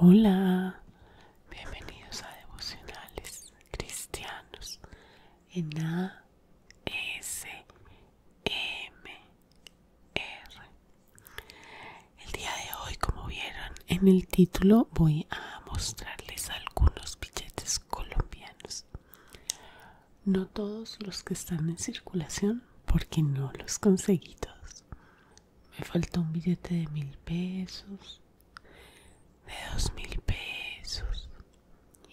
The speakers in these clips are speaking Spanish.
Hola, bienvenidos a Devocionales Cristianos en ASMR. El día de hoy, como vieron en el título, voy a mostrarles algunos billetes colombianos. No todos los que están en circulación, porque no los conseguí todos. Me faltó un billete de mil pesos, de dos mil pesos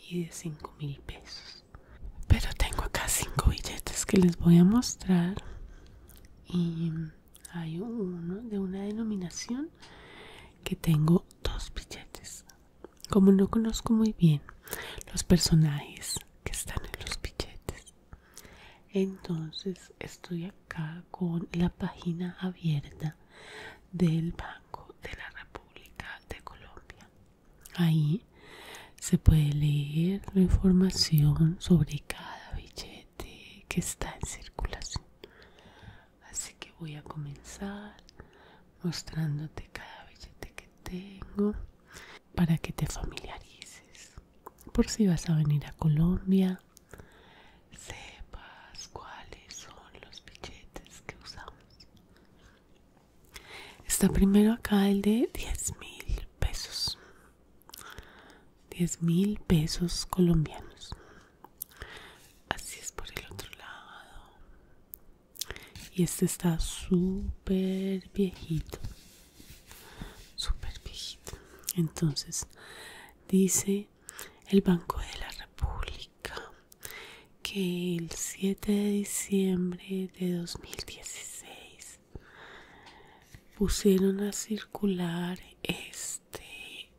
y de cinco mil pesos. Pero tengo acá cinco billetes que les voy a mostrar y hay uno de una denominación que tengo dos billetes como no conozco muy bien los personajes que están en los billetes entonces estoy acá con la página abierta del banco de la república de colombia ahí se puede leer la información sobre cada billete que está en circulación Así que voy a comenzar mostrándote cada billete que tengo para que te familiarices. Por si vas a venir a Colombia, sepas cuáles son los billetes que usamos. Está primero acá el de 10 mil pesos. 10 mil pesos colombianos. Así es por el otro lado. Y este está súper viejito. Súper viejito. Entonces dice el Banco de la República que el 7 de diciembre de 2016 pusieron a circular este este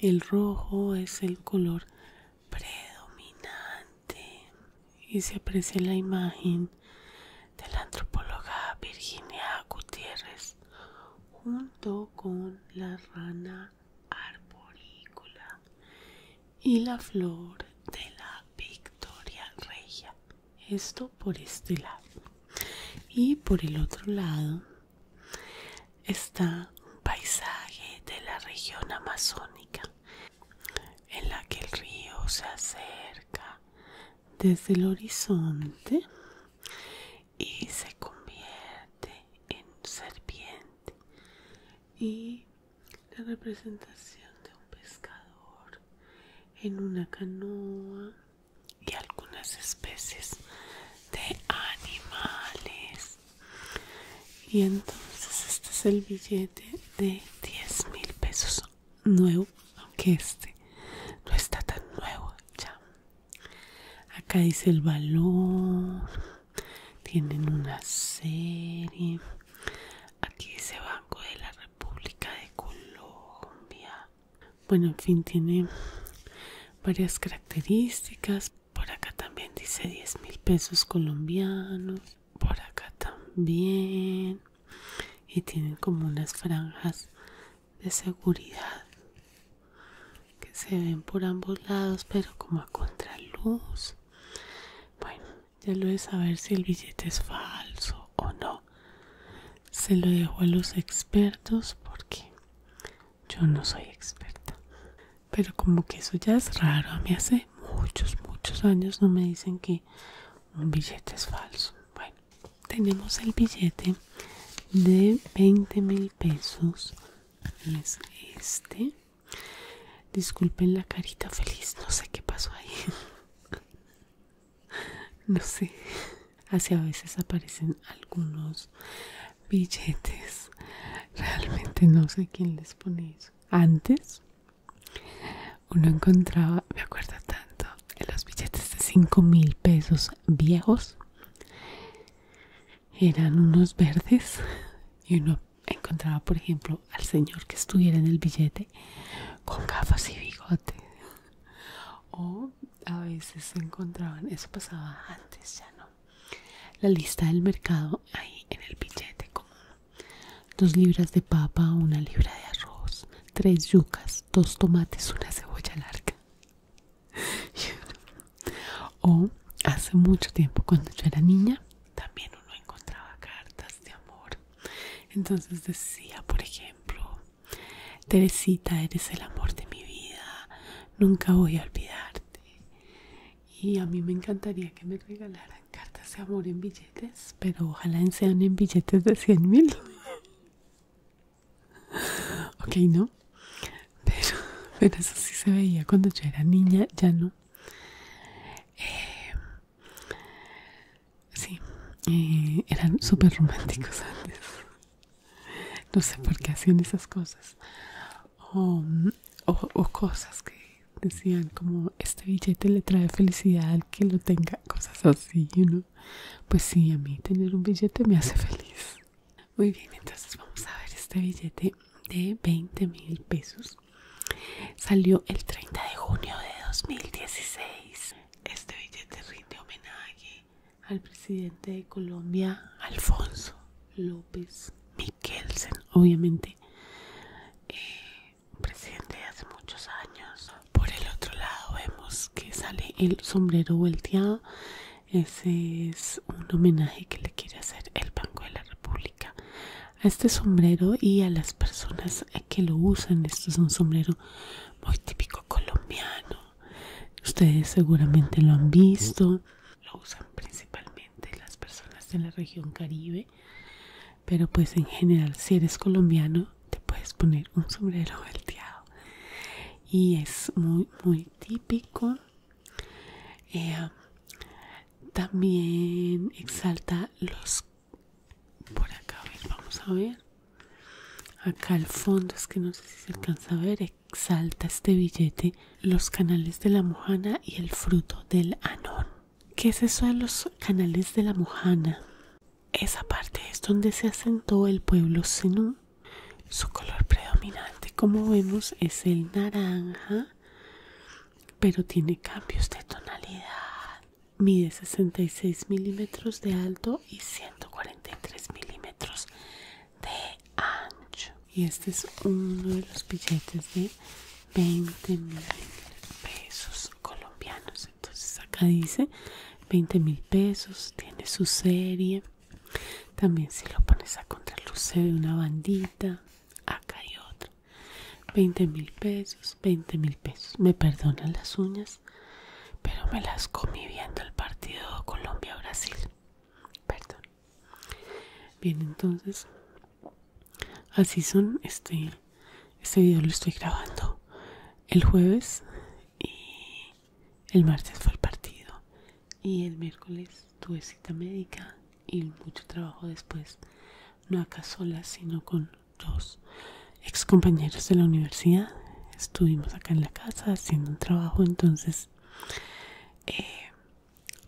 el rojo es el color predominante y se aprecia la imagen de la antropóloga Virginia Gutiérrez junto con la rana arborícola y la flor de la victoria regia esto por este lado y por el otro lado está un paisaje de la región amazónica en la que el río se acerca desde el horizonte y se convierte en serpiente y la representación de un pescador en una canoa y algunas especies de animales y entonces este es el billete de 10 mil pesos nuevo aunque este no está tan nuevo ya acá dice el valor tienen una serie aquí dice banco de la república de colombia bueno en fin tiene varias características por acá también dice 10 mil pesos colombianos por acá también y tienen como unas franjas de seguridad que se ven por ambos lados pero como a contraluz bueno ya lo de saber si el billete es falso o no se lo dejo a los expertos porque yo no soy experta pero como que eso ya es raro a mí hace muchos muchos años no me dicen que un billete es falso bueno tenemos el billete de 20 mil pesos es este disculpen la carita feliz no sé qué pasó ahí no sé así a veces aparecen algunos billetes realmente no sé quién les pone eso antes uno encontraba me acuerdo tanto los billetes de 5 mil pesos viejos eran unos verdes y uno encontraba por ejemplo al señor que estuviera en el billete con gafas y bigote o a veces se encontraban, eso pasaba antes ya no, la lista del mercado ahí en el billete Como Dos libras de papa, una libra de arroz, tres yucas, dos tomates, una cebolla larga. o hace mucho tiempo cuando yo era niña también uno encontraba cartas de amor. Entonces decía, por ejemplo, Teresita, eres el amor de mi vida, nunca voy a olvidarte. Y a mí me encantaría que me regalaran cartas de amor en billetes, pero ojalá sean en billetes de 100 mil. ok, no, pero, pero eso sí se veía cuando yo era niña, ya no. Eh, Sí, eran super románticos antes. No sé por qué hacían esas cosas. O, cosas que decían como este billete le trae felicidad al que lo tenga, cosas así, ¿no? Pues sí, a mí tener un billete me hace feliz. Muy bien, entonces vamos a ver este billete de 20 mil pesos. Salió el 30 de junio de 2016. Este billete rinde homenaje al presidente de Colombia, Alfonso López Miquelsen, obviamente, eh, presidente de hace muchos años. Por el otro lado vemos que sale el sombrero volteado. Ese es un homenaje que le quiere hacer el Banco de la República a este sombrero y a las personas es que lo usan. Esto es un sombrero muy típico colombiano. Ustedes seguramente lo han visto. Lo usan principalmente las personas de la región caribe. Pero pues en general si eres colombiano te puedes poner un sombrero volteado. Y es muy, muy típico. Eh, también exalta los por acá vamos a ver acá al fondo es que no sé si se alcanza a ver exalta este billete los canales de la mojana y el fruto del anón ¿qué es eso de los canales de la mojana? esa parte es donde se asentó el pueblo Zenú su color predominante como vemos es el naranja pero tiene cambios de tonalidad mide 66 milímetros de alto y 143 milímetros de ancho y este es uno de los billetes de 20 mil pesos colombianos entonces acá dice 20 mil pesos tiene su serie también si lo pones a contraluz se ve una bandita acá hay otro 20 mil pesos 20 mil pesos. Me perdonan las uñas, pero me las comí viendo el partido Colombia-Brasil. Perdón. Bien, entonces, así son. Este, este video lo estoy grabando el jueves y el martes fue el partido. Y el miércoles tuve cita médica y mucho trabajo después. No acá sola, sino con dos excompañeros de la universidad estuvimos acá en la casa haciendo un trabajo entonces eh,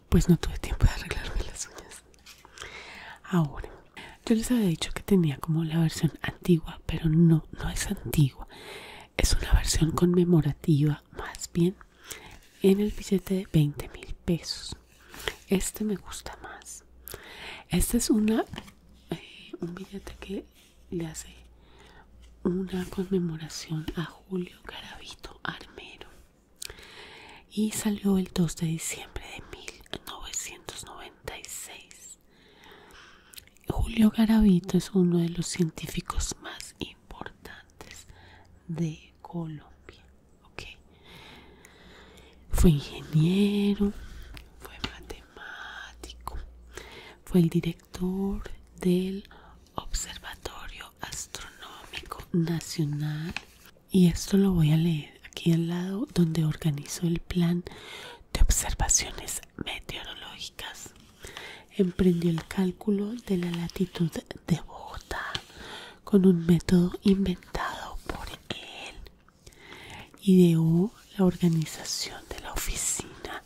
pues no tuve tiempo de arreglarme las uñas ahora yo les había dicho que tenía como la versión antigua pero no no es antigua es una versión conmemorativa más bien en el billete de 20 mil pesos este me gusta más esta es una un billete que le hace una conmemoración a Julio Garavito Armero y salió el 2 de diciembre de 1996. Julio Garavito es uno de los científicos más importantes de Colombia fue ingeniero, fue matemático, fue el director del Observatorio Astronómico Nacional y esto lo voy a leer aquí al lado donde organizó el plan de observaciones meteorológicas. Emprendió el cálculo de la latitud de Bogotá con un método inventado por él Ideó la organización de la oficina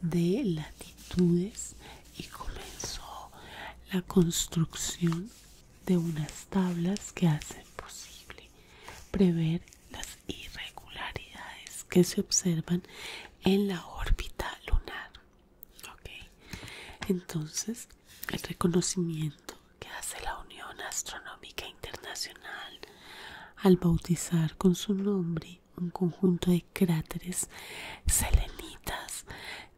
de latitudes y comenzó la construcción de unas tablas que hacen posible prever las irregularidades que se observan en la órbita lunar. Entonces, el reconocimiento que hace la Unión Astronómica Internacional al bautizar con su nombre un conjunto de cráteres selenitas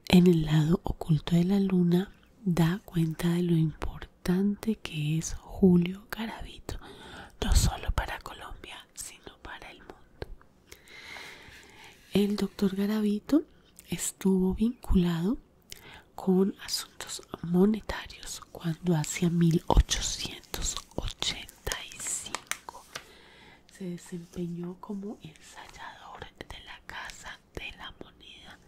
en el lado oculto de la Luna da cuenta de lo importante que es Julio Garavito, no solo para Colombia, sino para el mundo. El doctor Garavito estuvo vinculado con asuntos monetarios cuando hacia 1885 se desempeñó como ensayador de la Casa de la Moneda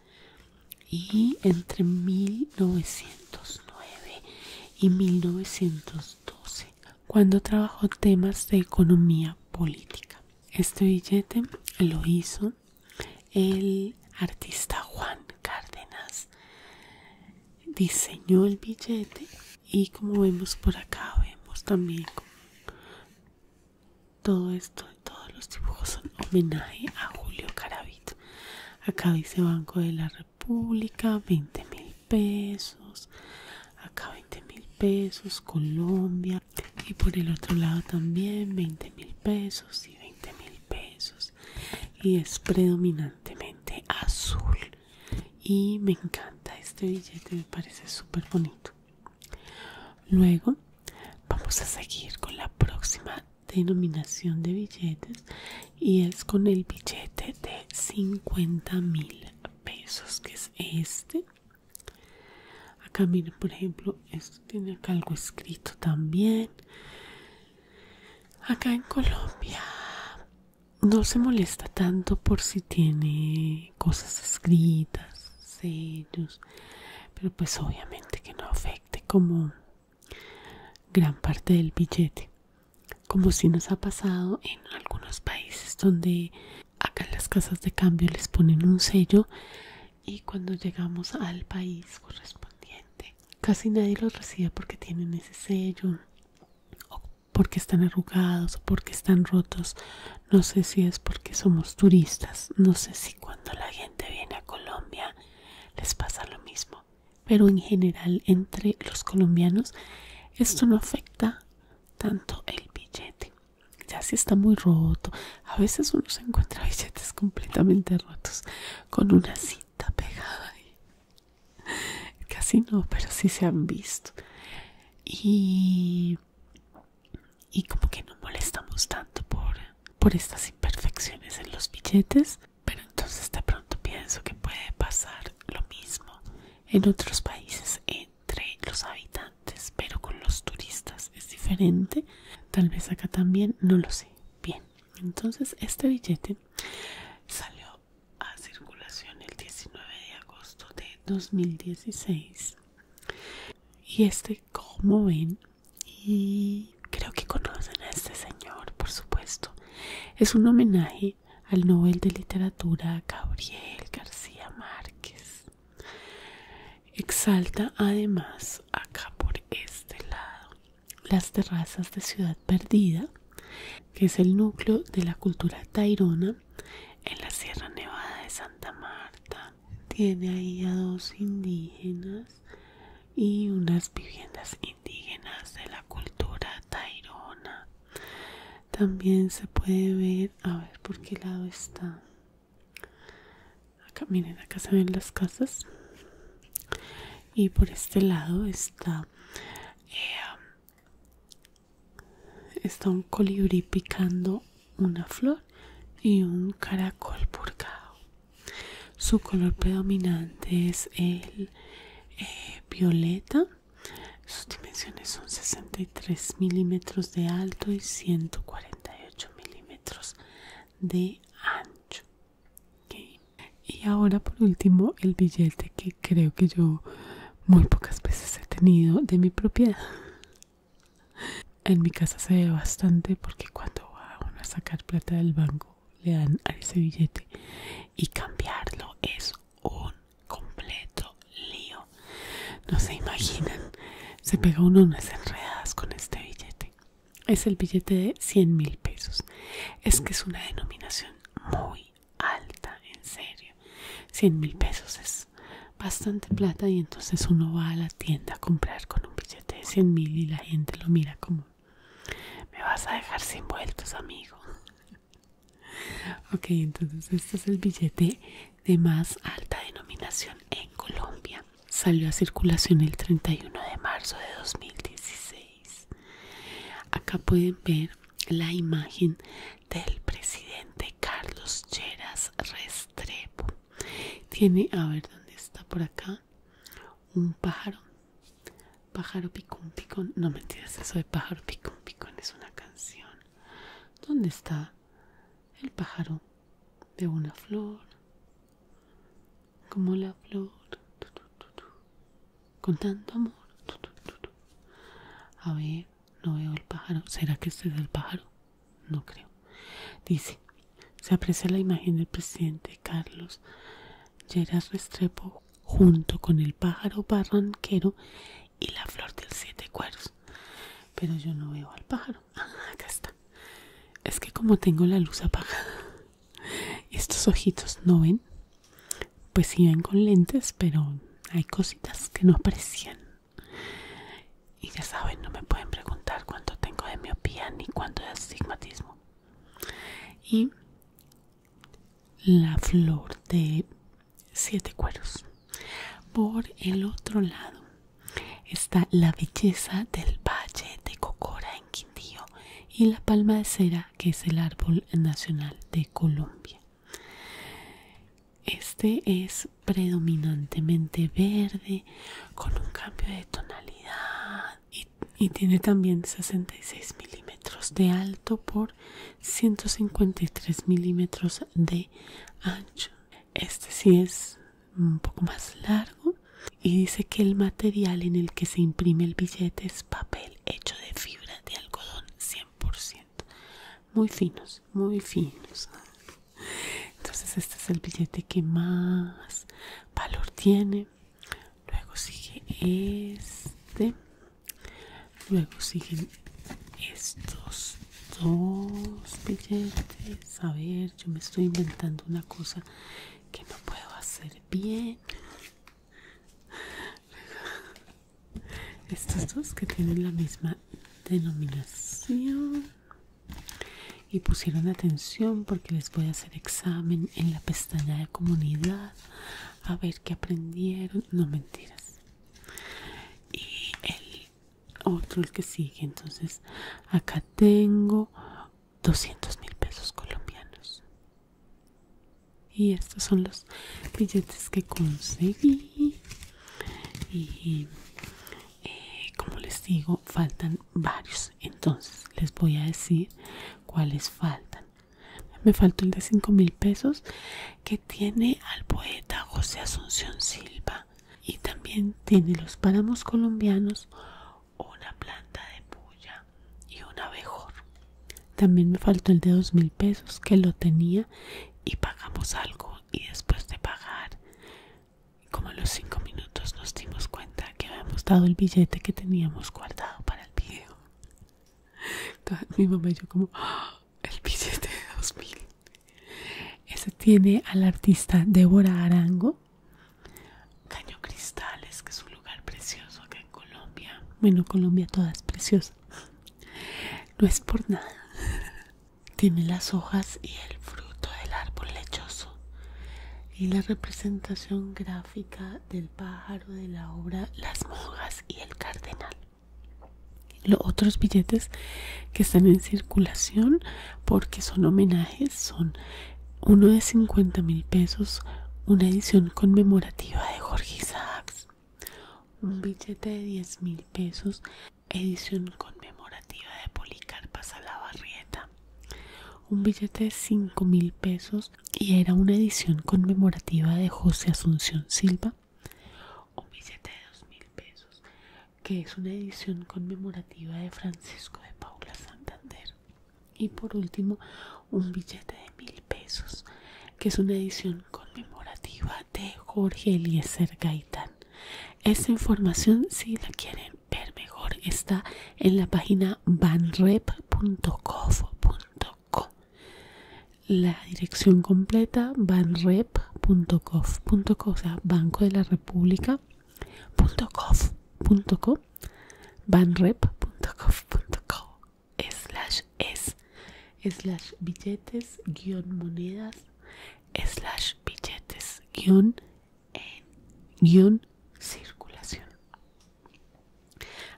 y entre 1909 y 1912 cuando trabajó temas de economía política. Este billete lo hizo el artista Juan Cárdenas diseñó el billete y como vemos por acá vemos también todo esto, todos los dibujos son homenaje a Julio Caravito. Acá dice Banco de la República, 20 mil pesos. Acá 20 mil pesos, Colombia. Y por el otro lado también 20 mil pesos y 20 mil pesos y es predominantemente azul y me encanta este billete me parece súper bonito luego vamos a seguir con la próxima denominación de billetes y es con el billete de 50 mil pesos que es este acá miren por ejemplo esto tiene algo escrito también acá en Colombia no se molesta tanto por si tiene cosas escritas, sellos, pero pues obviamente que no afecte como gran parte del billete, como si nos ha pasado en algunos países donde acá las casas de cambio les ponen un sello y cuando llegamos al país correspondiente casi nadie los recibe porque tienen ese sello o porque están arrugados o porque están rotos no sé si es porque somos turistas no sé si cuando la gente viene a Colombia les pasa lo mismo pero en general entre los colombianos esto no afecta tanto el billete ya si está muy roto a veces uno se encuentra billetes completamente rotos con una cinta pegada ahí. Casi no, pero sí se han visto. Y, y como que no molestamos tanto por, por estas imperfecciones en los billetes. Pero entonces de pronto pienso que puede pasar lo mismo en otros países entre los habitantes, pero con los turistas es diferente. Tal vez acá también, no lo sé. Bien, entonces este billete salió a circulación el 19 de agosto de 2016 y este como ven y creo que conocen a este señor por supuesto es un homenaje al novel de Literatura Gabriel García Márquez exalta además acá por este lado las terrazas de Ciudad Perdida, que es el núcleo de la cultura tairona en la Sierra Nevada de Santa Marta. Tiene ahí a dos indígenas y unas viviendas indígenas de la cultura tairona. También se puede ver, a ver por qué lado está. Acá miren, acá se ven las casas. Y por este lado está, eh, está un colibrí picando una flor y un caracol purgado. Su color predominante es el eh, violeta. Sus dimensiones son 63 milímetros de alto y 148 milímetros de ancho. Y ahora por último el billete que creo que yo muy pocas veces he tenido de mi propiedad. En mi casa se ve bastante porque cuando va a sacar plata del banco le dan a ese billete y cambiarlo es un completo lío. No se imaginan, se pega uno unas enredadas con este billete es el billete de 100 mil pesos. Es que es una denominación muy alta, en serio. 100 mil pesos es bastante plata y entonces uno va a la tienda a comprar con un billete de 100 mil y la gente lo mira como, me vas a dejar sin vueltos, amigo. ok, entonces este es el billete de más alta denominación en Colombia salió a circulación el 31 de marzo de 2016. Acá pueden ver la imagen del presidente Carlos Cheras Restrepo. Tiene, a ver dónde está por acá, un pájaro. Pájaro picón picón. No mentiras, eso de pájaro picón picón es una canción. ¿Dónde está el pájaro de una flor? como la flor, con tanto amor. A ver, no veo el pájaro. ¿Será que este es el pájaro? No creo. Dice, se aprecia la imagen del presidente Carlos Lleras Restrepo junto con el pájaro barranquero y la flor del siete cueros. Pero yo no veo al pájaro acá está. Es que como tengo la luz apagada, estos ojitos no ven. Pues sí ven con lentes, pero hay cositas que no aparecían Y ya saben, no me pueden preguntar cuánto tengo de miopía ni cuánto de astigmatismo. Y la flor de siete cueros. Por el otro lado, Está la belleza del valle de Cocora en Quindío y la palma de cera, que es el árbol nacional de Colombia. Este es predominantemente verde, con un cambio de tonalidad y, tiene también 66 milímetros de alto por 153 milímetros de ancho. Este sí es un poco más largo y dice que el material en el que se imprime el billete es papel hecho de fibra de algodón 100%. Muy finos, muy finos. Entonces este es el billete que más valor tiene. Luego sigue este. Luego siguen estos dos billetes. A ver yo me estoy inventando una cosa que no puedo hacer bien. Estos dos que tienen la misma denominación y pusieron atención porque les voy a hacer examen en la pestaña de comunidad a ver qué aprendieron no mentiras y el otro el que sigue entonces acá tengo 200 mil pesos colombianos y estos son los billetes que conseguí y eh, como les digo faltan varios entonces les voy a decir cuáles faltan me faltó el de 5 mil pesos que tiene al poeta José Asunción Silva y también tiene los páramos colombianos una planta de puya y un abejor también me faltó el de dos mil pesos que lo tenía y pagamos algo y después de pagar como a los cinco minutos nos dimos cuenta que habíamos dado el billete que teníamos guardado para el video mi mamá y yo como ah, el billete de dos mil ese tiene al artista Débora Arango Caño. Cristales, que es un lugar precioso acá en Colombia. Bueno, Colombia toda es preciosa. No es por nada. Tiene las hojas y el fruto del árbol lechoso. Y la representación gráfica del pájaro de la obra Las monjas y el cardenal. Los otros billetes que están en circulación porque son homenajes, son uno de 50 mil pesos, una edición conmemorativa de Jorge Isaacs, un billete de 10 mil pesos, edición conmemorativa de Policarpa Salabarrieta, un billete de 5 mil pesos y era una edición conmemorativa de José Asunción Silva, un billete de 2 mil pesos, que es una edición conmemorativa de Francisco de Paula Santander. Y por último, un billete de mil pesos, que es una edición conmemorativa de Jorge Eliezer Gaitán. Esta información, si la quieren ver mejor, está en la página banrep.gov.co. La dirección completa banrep.gov.co, o sea, Banco de la República .co, banrep.gov.co slash es slash billetes guión monedas slash billetes guión en guión circulación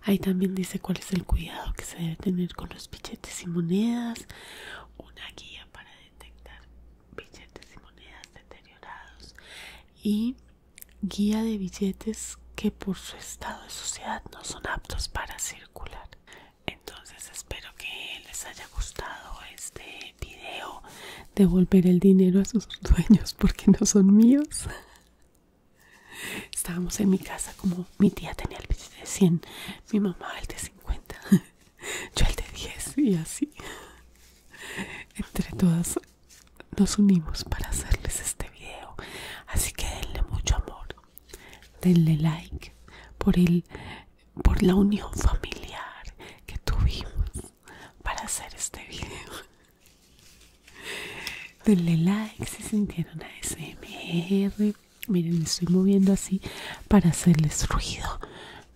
ahí también dice cuál es el cuidado que se debe tener con los billetes y monedas una guía para detectar billetes y monedas deteriorados y guía de billetes que por su estado de sociedad no son aptos para circular. Entonces espero que les haya gustado este video. Devolver el dinero a sus dueños porque no son míos. Estábamos en mi casa como mi tía tenía el billete de 100, mi mamá el de 50. yo el de 10 y así. Entre todas nos unimos para hacerles este video. Así que denle mucho amor. Denle like por, el, por la unión familiar que tuvimos para hacer este video. Denle like si sintieron a smr Miren, me estoy moviendo así para hacerles ruido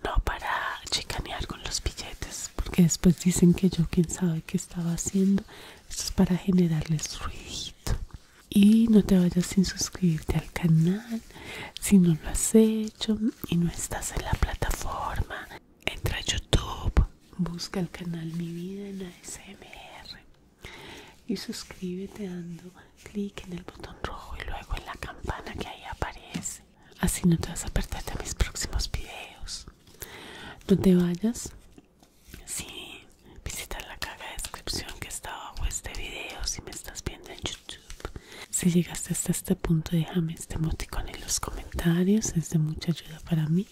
no para chicanear con los billetes porque después dicen que yo quién sabe qué estaba haciendo esto es para generarles ruidito y no te vayas sin suscribirte al canal si no lo has hecho y no estás en la plataforma entra a youtube busca el canal mi vida en ASMR y suscríbete dando clic en el botón rojo y luego en la campana que ahí aparece Así no te vas a perder mis próximos videos. No te vayas si sí, la caja de descripción que está abajo este video si me estás viendo en YouTube. Si llegaste hasta este punto déjame este emoticón en los comentarios. Es de mucha ayuda para mí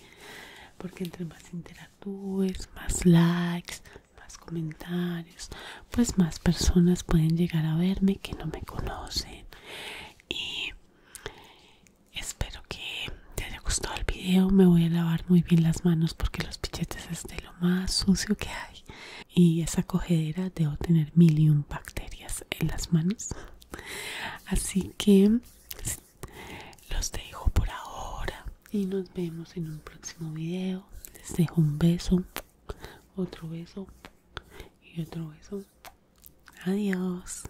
porque entre más interactúes, más likes, más comentarios, pues más personas pueden llegar a verme que no me conocen y espero que te haya gustado el video me voy a lavar muy bien las manos porque los pichetes es de lo más sucio que hay y esa cogedera debo tener mil y un bacterias en las manos así que los dejo por ahora y nos vemos en un próximo video les dejo un beso otro beso y otro beso. Adiós.